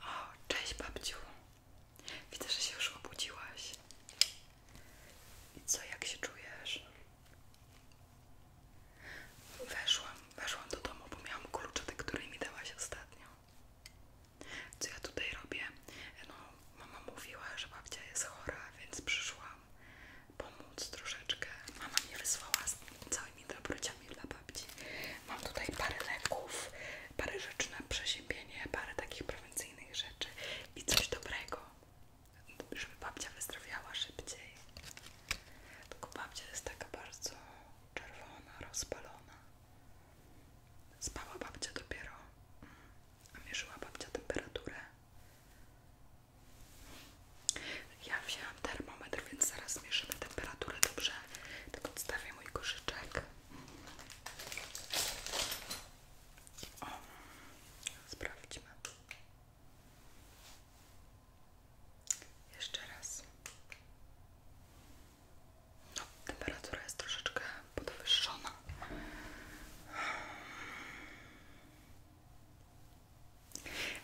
O, cześć babciu. Widzę, że się już obudziłaś. I co, jak się czujesz? Weszłam, weszłam do domu, bo miałam klucze, te, które mi dałaś ostatnio. Co ja tutaj robię? No, mama mówiła, że babcia jest chora, więc przyszłam pomóc troszeczkę. Mama mi wysłała z całym tymi dobrociami dla babci. Mam tutaj parę leków, parę rzeczy na przeziębienie, parę takich prewencyjnych rzeczy i coś dobrego, żeby babcia wyzdrowiała szybciej. Tylko babcia jest taka bardzo czerwona, rozpalona. Spała babcia dopiero, a mierzyła babcia temperaturę. Ja wzięłam termometr, więc zaraz zmierzymy temperaturę dobrze. Tak odstawię mój koszyczek. O, sprawdźmy. Jeszcze raz. No, temperatura jest troszeczkę podwyższona.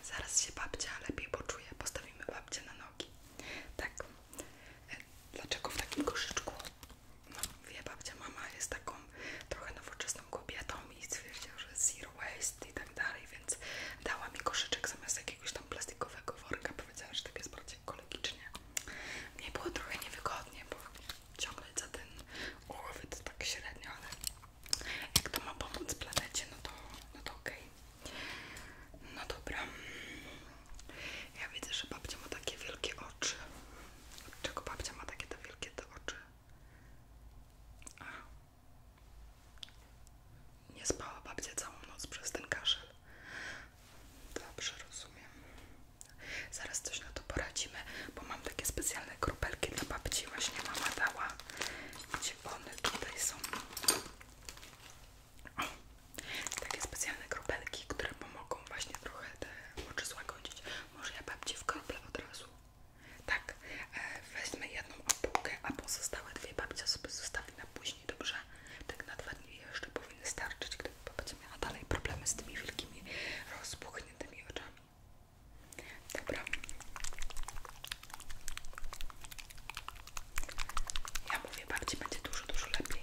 Zaraz się babcia lepiej poczuje. Postawimy babcię na nogi. Tak. E, dlaczego w takim koszyczku? No, wie babcia, mama jest taką trochę nowoczesną kobietą i stwierdziła, że zero waste i tak dalej, więc dała mi koszyczek zamiast jakiegoś tam plastikowego worka. Powiedziała, że tak jest bardziej ekologicznie. Mnie było trochę niewygodnie, bo ciągnąć za ten ułowy to tak średnio, ale jak to ma pomóc planecie, no to, no to Okay. No dobra. Ja widzę, że babcia ma takie wielkie oczy. Od czego babcia ma takie te wielkie oczy? A. Nie spała babcia całą noc przez ten kaszel. Dobrze, rozumiem. Zaraz coś na to poradzimy, bo mam takie specjalne kropelki dla babci. Właśnie mama dała. Gdzie one tutaj są? O, takie specjalne kropelki, które pomogą właśnie trochę te oczy złagodzić. Może ja babci w krople od razu. Tak, e, weźmy jedną opułkę, a pozostałe dwie babcia sobie zostawi na później, dobrze? Tak na dwa dni jeszcze powinny starczyć, gdyby babcia miała dalej problemy z tymi wielkimi, rozpuchniętymi oczami. Dobra. Ja mówię, babci będzie dużo, dużo lepiej.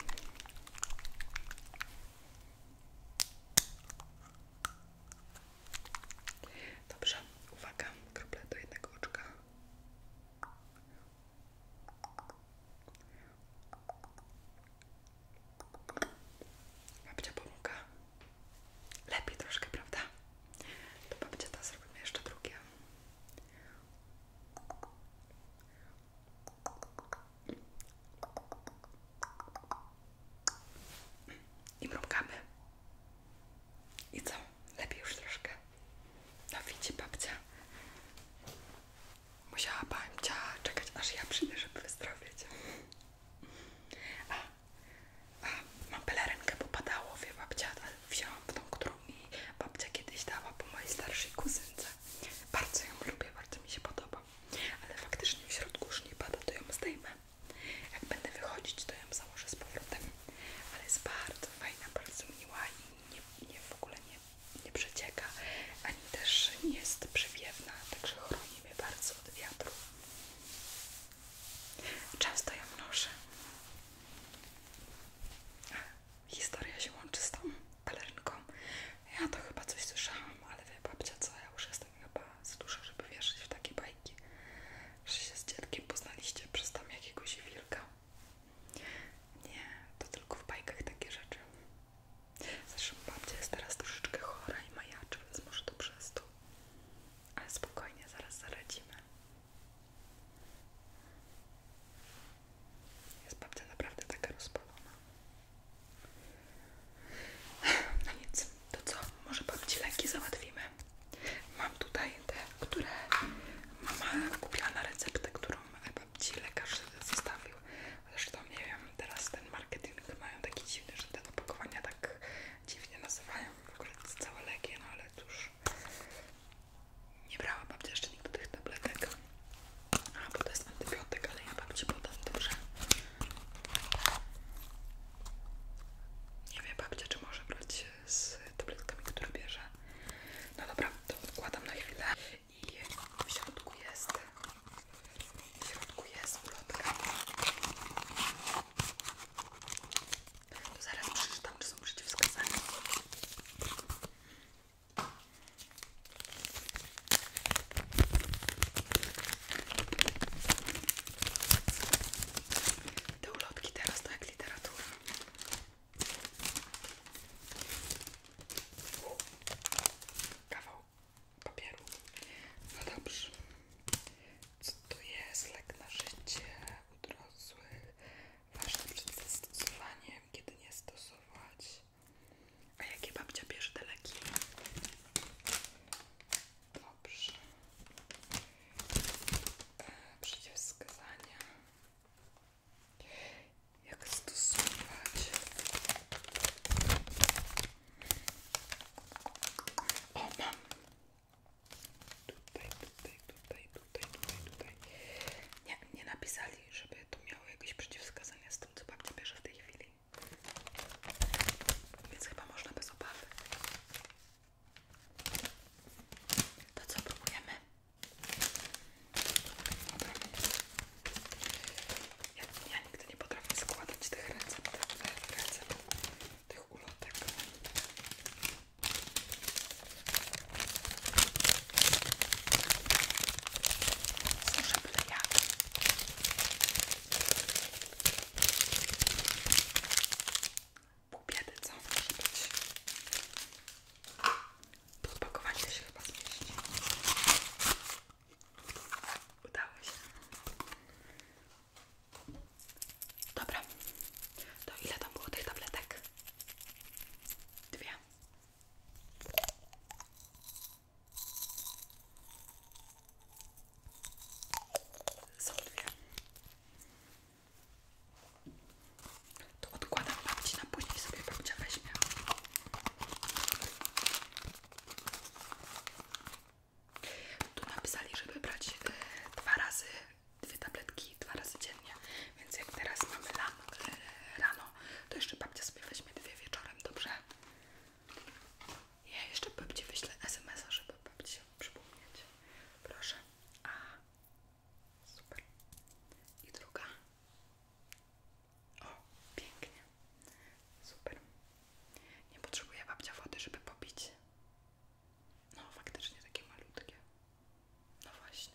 Dobrze, uwaga, krople do jednego oczka. Babcia pomaga. Lepiej troszkę, prawda? To babcia ta zrobimy jeszcze drugie. I mrugamy. I co? Lepiej już troszkę. No widzi babcia. Musiała babcia czekać, aż ja przyjdę, żeby wyzdrowieć mam pelerynkę, bo padało, wie babcia, wzięłam tą, którą mi babcia kiedyś dała po mojej starszej kuzynce. Bardzo ją lubię, bardzo mi się podoba. Ale faktycznie w środku już nie pada, to ją zdejmę. Jak będę wychodzić, to ją założę z powrotem. Ale jest bardzo fajna, bardzo miła i nie, nie w ogóle nie, nie przecieka, ani też nie jest przewiewna, także chroni mnie bardzo od wiatru. Często ją noszę. Historia się łączy z tą pelerynką. Ja to chyba coś słyszałam, ale wie babcia co, ja już jestem chyba za duża, żeby wierzyć w takie bajki, że się z dzieckiem poznaliście przez tam jakiegoś wilka. Nie, to tylko w bajkach takie rzeczy. Zresztą babcia jest teraz troszeczkę chora i majaczy, więc może to przez to. Ale spokojnie, zaraz zaradzimy. Jest babcia naprawdę taka rozpalona. No nic, to co? Może babci leki załatwimy. Mam tutaj te, które mama kupiła na receptę, którą babci lekarz zostawił. Zresztą nie wiem, teraz ten marketing mają taki dziwny, że te opakowania tak dziwnie nazywają w ogóle akurat całe leki, no ale cóż nie brałam babci jeszcze nigdy tych tabletek a, bo to jest antybiotyk, ale ja babci podam, dobrze? nie wiem babcia, czy może brać z tabletkami, które bierze no dobra, to odkładam na chwilę i w środku jest w środku jest ulotka to zaraz przeczytam, czy są przeciwwskazania. Te ulotki teraz to jak literatura. Kawał papieru. No dobrze. Co to jest? Lek na życie u dorosłych. Ważne przed zastosowaniem, kiedy nie stosować. A jakie babcia bierze te leki? Dobrze. E, Przeciwwskazania. Jak stosować? O, mam! Tutaj, tutaj, tutaj, tutaj, tutaj, Nie, napisali, żeby to miało jakieś przeciwwskazania z tym, co babcia bierze w tej chwili. Więc chyba można bez obawy. To co próbujemy? Dobra. Ja, ja nigdy nie potrafię składać tych recept, recept tych ulotek. Służę byle jak. Pół biedy, co może być? To opakowanie się chyba zmieści. Udało się. Dobra, to ile tam było tych tabletek? Dwie. Są dwie. To odkładam babci na później sobie babcia weźmie. Tu napisali, żeby brać e, dwa razy dwie tabletki dwa razy dziennie, więc jak teraz mamy e, rano, to jeszcze babcia sobie weźmie dwie wieczorem, dobrze? Ja jeszcze babci wyślę SMSA, żeby babci się przypomnieć. Proszę. A, super. I druga. O, pięknie. Super. Nie potrzebuje babcia wody, żeby pobić. No, faktycznie takie malutkie. No właśnie.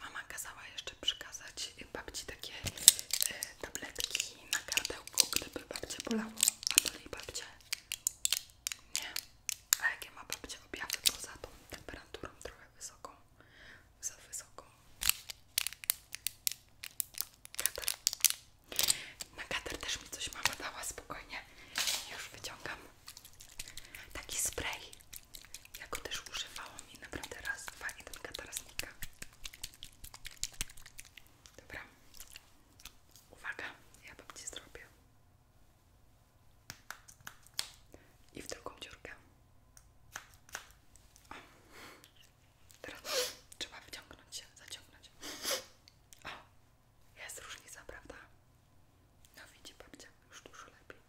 Mama kazała jeszcze przykazać babci takie e, tabletki na kardełku, gdyby babcię bolało. A to jej babcia? Nie. A jakie ma babcia objawy poza tą temperaturą trochę wysoką? Za wysoką. Kata. Na kater też mi coś mama dała, spokojnie. Już wyciągam taki spray. jak go też używałam i naprawdę raz, dwa i ten katar znika. Dobra. Uwaga, ja babci zrobię. I w drugą dziurkę. Teraz trzeba wyciągnąć się, zaciągnąć. O, jest różnica, prawda? No widzi babcia, już dużo lepiej.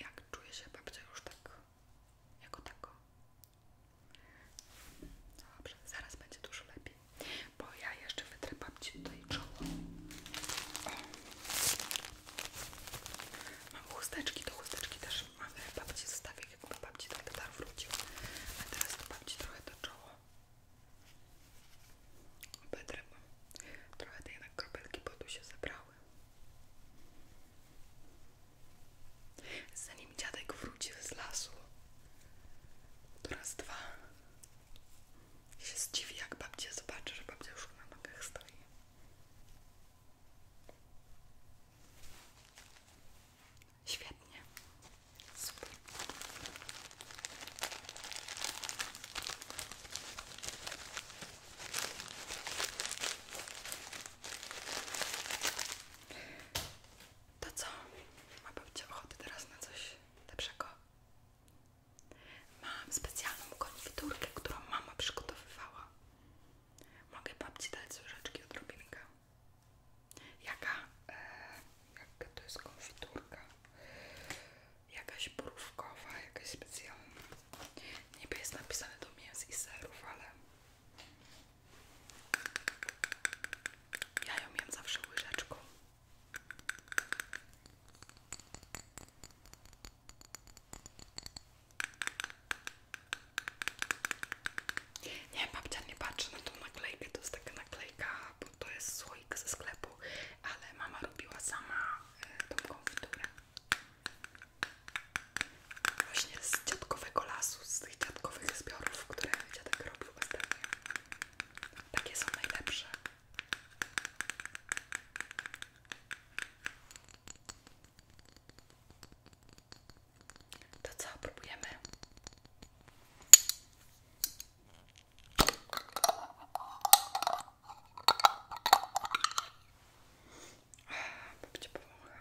Jak czuje się babcia już tak, jako tako? No dobrze, zaraz będzie dużo lepiej, bo ja jeszcze wytrę babci tutaj czoło. O. Mam chusteczki, do chusteczki też mamy babci zostawię tak jakby babci trochę dar wrócił, a teraz to babci trochę to czoło. Bedrywam. Trochę te jednak kropelki tu się zebrały. Zanim dziadek wróci z lasu, to raz, dwa się zdziwi, jak babcię zobaczy, że babcia już na nogach stoi. Świetnie. Super. To co? Macie ochotę teraz na coś lepszego? Mam specjalną konfiturkę, którą mama przygotowywała. Mogę babci dać łyżeczki odrobinkę. Jaka, e, to jest konfiturka? Jakaś brówkowa, jakaś specjalna. Niby jest napisane do mięs i serów, ale ja ją jem zawsze łyżeczką. Nie, babcia nie patrzę na tą naklejkę, to jest taka naklejka, bo to jest słoik ze sklepu, ale mama robiła sama e, tą konfiturę. Właśnie z dziadkowego lasu, z tych dziadkowych zbiorów, które dziadek robił ostatnio. Takie są najlepsze. To co, próbujemy? Babcia powącha.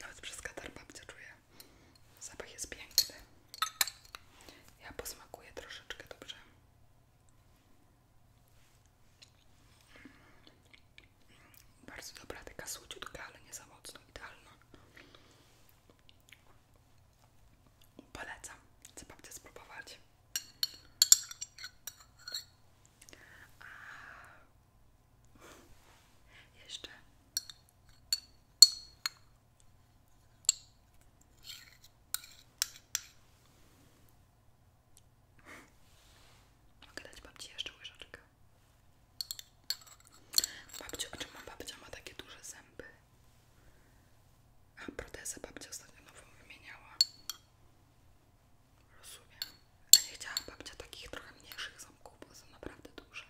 Nawet przez katar babcia czuje. Zapach jest piękny. Ja posmakuję troszeczkę dobrze. Bardzo dobra, taka słodziutka, ale nie za mocno, Polecam, chcę spróbować. jeszcze Mogę dać babci jeszcze łyżeczkę. Babciu, a czemu babcia ma takie duże zęby? A protezę babcia ostatnio nową wymieniała. Rozumiem. A nie chciała babcia takich trochę mniejszych ząbków, bo są naprawdę duże.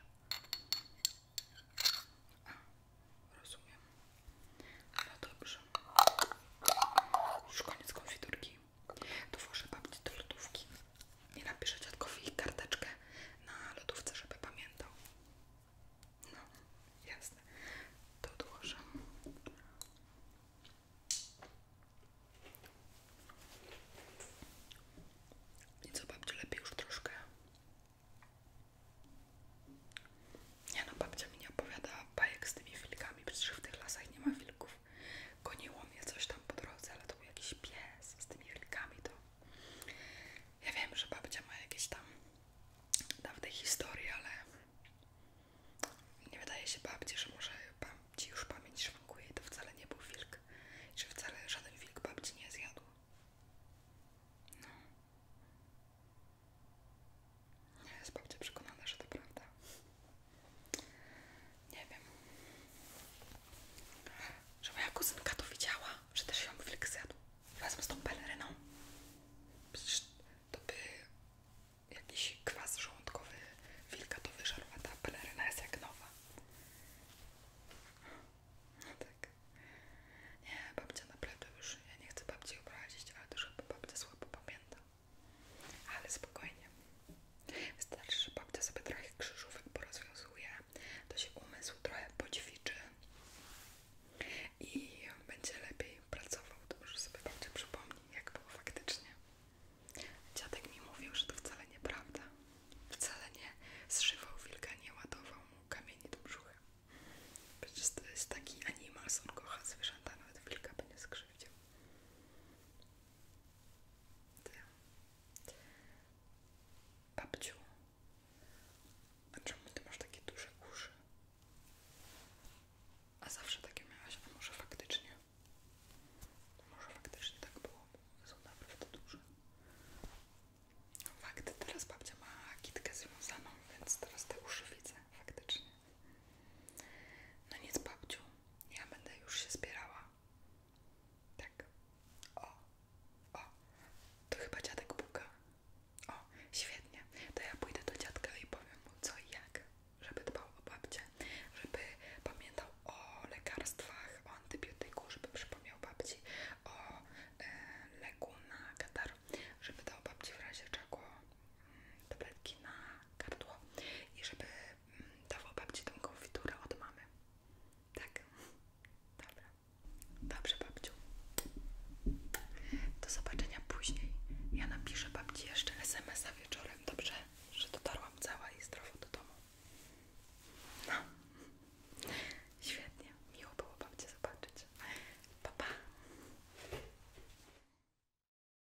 A, rozumiem. No dobrze. Już koniec konfiturki to włożę babci do lodówki i napiszę dziadkowi karteczkę na lodówce, żeby pamiętał. No, jasne. To odłożę. I co, babciu, lepiej już troszkę? Nie no, babcia mi nie opowiada bajek z tymi wilkami, przecież w tych lasach nie ma wilków wilków. Goniło mnie coś tam po drodze, ale to był jakiś pies z tymi wilkami. To ja wiem, że babcia ma jakieś tam dawne historie, ale nie wydaje się babci, że może ci już pamięć szwankuje i to wcale nie był wilk. że wcale żaden wilk babci nie zjadł. No. Ja jest babcia przekonana, że to prawda. Nie wiem. Że moja kuzynka to widziała, że też ją wilk zjadł. Razem z tą peleryną. Przecież to by jakiś kwas żołądkowy wilka to wyżarł, a ta peleryna jest jak nowa. No tak. Nie, babcia naprawdę już, ja nie chcę babci obrazić, ale też żeby babcia słabo pamięta. Ale spokojnie. Wystarczy, że babcia sobie trochę krzyżówek porozwiązuje, to się umysł trochę poćwiczy i będzie lepiej pracował. To może sobie babcia przypomni, jak było faktycznie. Dziadek mi mówił, że to wcale nieprawda. Wcale nie zszywał wilka, nie ładował mu kamieni do brzucha. Przecież to jest taki animal, on kocha zwierzęta, nawet wilka by nie skrzywdził. Ty. Babciu, a czemu ty masz takie duże uszy? A zawsze takie miałaś, a może faktycznie? Może faktycznie tak było, są naprawdę duże. Fakty, teraz babcia ma kitkę związaną, więc teraz te uszy widzę faktycznie. No nic, babciu, ja będę już się zbierała. Tak. O, o, to chyba dziadek puka. O, świetnie. To ja pójdę do dziadka i powiem mu co i jak, żeby dbał o babcię, żeby pamiętał o lekarstwach, o antybiotyku, żeby przypomniał babci o e, leku na katar, żeby dał babci w razie czego mm, tabletki na gardło i żeby dawał babci tą konfiturę od mamy. Tak? Dobra. Dobrze, babciu. Do zobaczenia później. Ja napiszę babci jeszcze SMSa wieczorem, dobrze? Że dotarłam cała i zdrowo do domu. No. Świetnie. Miło było babcię zobaczyć. Pa,